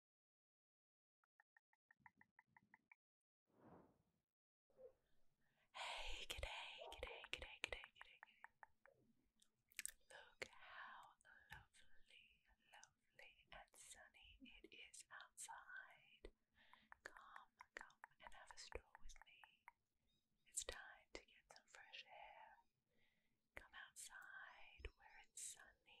Hey, good day, good day, good day, good day, good day. Look how lovely, lovely and sunny it is outside. Come, come and have a stroll with me. It's time to get some fresh air. Come outside where it's sunny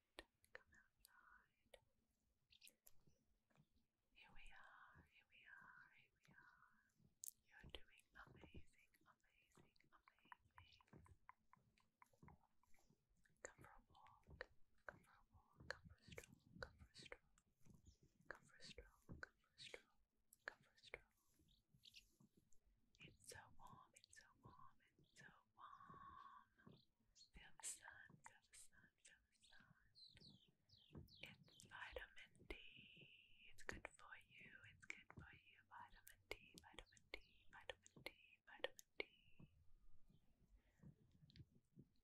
come outside. Here we are, here we are, here we are. You're doing amazing, amazing, amazing. Come for a walk, come for a walk, come for a stroll, come for a stroll, come for a stroll, come for a stroll, come for a stroll. It's so warm, it's so warm, it's so Feel the sun, feel the sun, feel the sun. It's vitamin D. It's good for you. It's good for you. Vitamin D, vitamin D, vitamin D, vitamin D.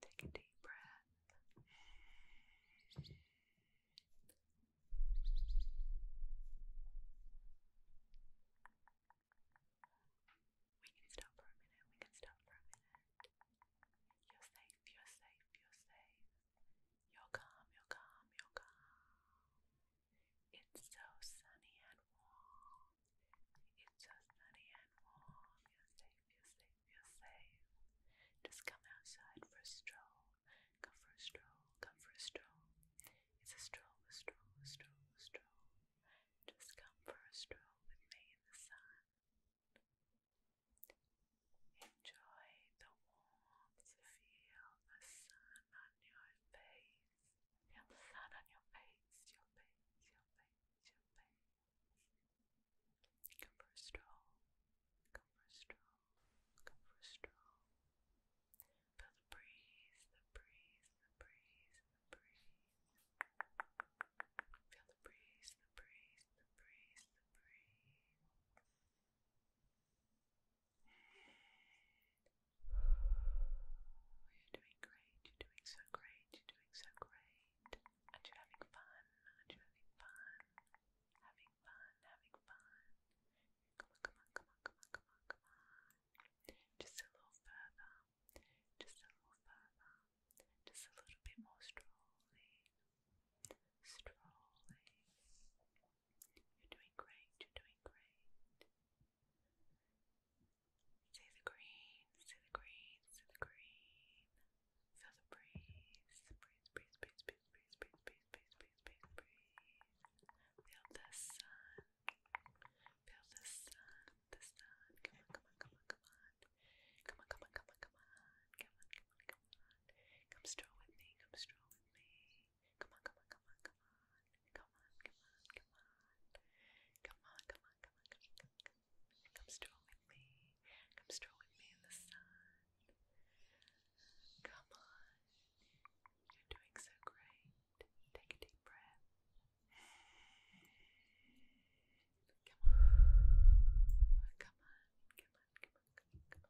Take a deep breath. We can stop for a minute. We can stop for a minute. You're safe. You're safe. You're safe. You're calm. You're calm. You're calm. It's so sunny and warm. It's so sunny and warm. You're safe. You're safe. You're safe. Just come outside for a stroll. Come for a stroll, come for a stroll. It's a stroll, a stroll, a stroll, a stroll. Just come for a stroll with me in the sun. Enjoy the warmth, feel the sun on your face. Feel the sun on your face, your face, your face, your face. Come for a stroll, come for a stroll looking for strong. Feel the breeze, the breeze, the breeze, the breeze. Feel the breeze, the breeze, the breeze, the breeze. Oh, you're doing great, you're doing so great, you're doing so great. Aren't you having fun? Aren't you having fun? Having having fun, having fun. Come on, come on, come on, come on, come on, come on. Just a little further, just a little further, just a little bit more strolling, strolling. You're doing great, you're doing great. See the green, see the green, see the green. Feel the breeze, breeze, breeze, breeze, breeze, breeze, breeze, breeze, breeze, breeze, breeze, Feel the sun, feel the sun, the sun. Come on, come on, come on, come on, come on, come on, come on, come on, come on, come on, come on. Come stroll with me, come stroll with me. Come on, come on, come on, come on, come on, come on, come on, come on, come on, come on, come on, come on. Come stroll with me, come stroll with me in the sun. Come on. You're doing so great. Take a deep breath. Come on. Come on. Come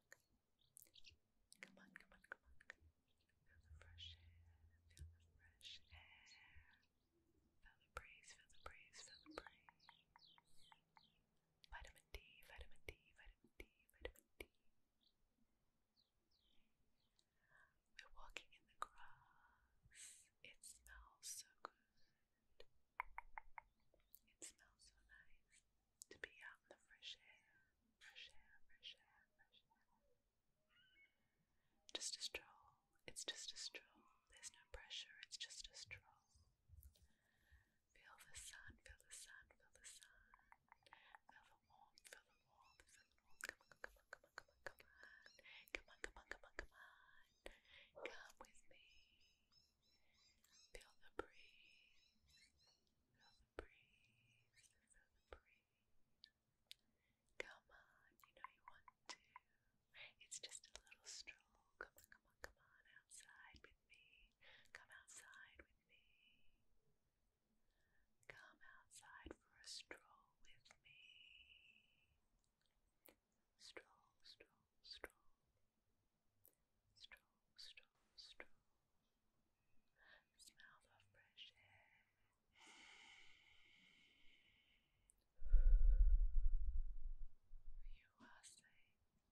on. Come on. Come on. Come on. Come on. Come on. Come on. fresh air. Feel the breeze. Feel the breeze. Feel the breeze vitamin D, vitamin D, vitamin D, vitamin D. We're walking in the grass. It smells so good. It smells so nice to be out in the fresh air, fresh air, fresh air, fresh air. Just a stroll it's just a stroll. There's no pressure. It's just a stroll. Feel the sun. Feel the sun. Feel the sun. Feel the warmth. Feel the warmth. Feel the warmth. Come on, come on, come on, come on, come on. Come on, come on, come on, come on. Come with me. Feel the breeze. Feel the breeze. Feel the breeze. Come on, you know you want to. It's just a little stroll. Come on, come on, come on outside with me. Come outside with me. Come outside for a stroll with me. Stroll, stroll, stroll. Stroll, stroll, stroll. Smell the fresh air. You are safe.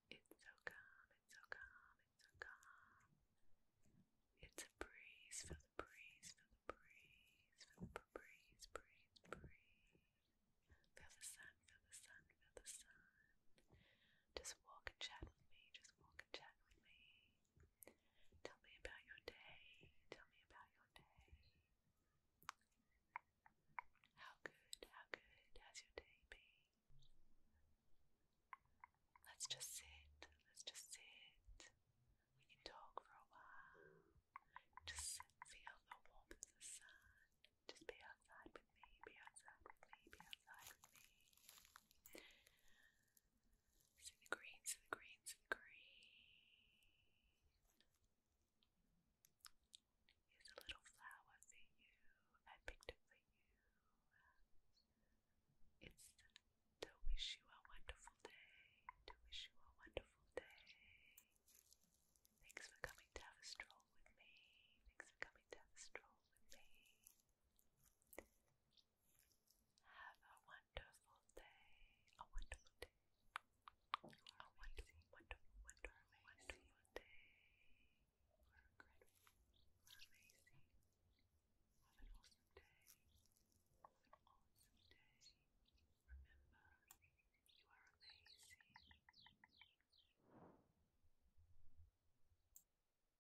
It's so calm, it's so calm, it's so calm. It's a breeze, feel the breeze, feel the breeze, feel the breeze, breeze, breeze. Feel the sun, feel the sun, feel the sun. Just walk and chat with me, just walk and chat with me. Tell me about your day. Tell me about your day. How good, how good has your day been? Let's just sit, let's just sit. We can talk for a while. Just feel the warmth of the sun. Just be outside with me, be outside with me, be outside with me. See the green, the green, the green. Here's a little flower for you. I picked it for you. It's to wish you a wonderful day. To wish you a wonderful day. Thanks for coming to have a stroll with me. Thanks for coming to have a stroll with me. Have a wonderful day. A wonderful day. A wonderful, wonderful, wonderful, wonderful day. We're incredible. We're amazing. Have an awesome day. Have an awesome day. Remember, you are amazing.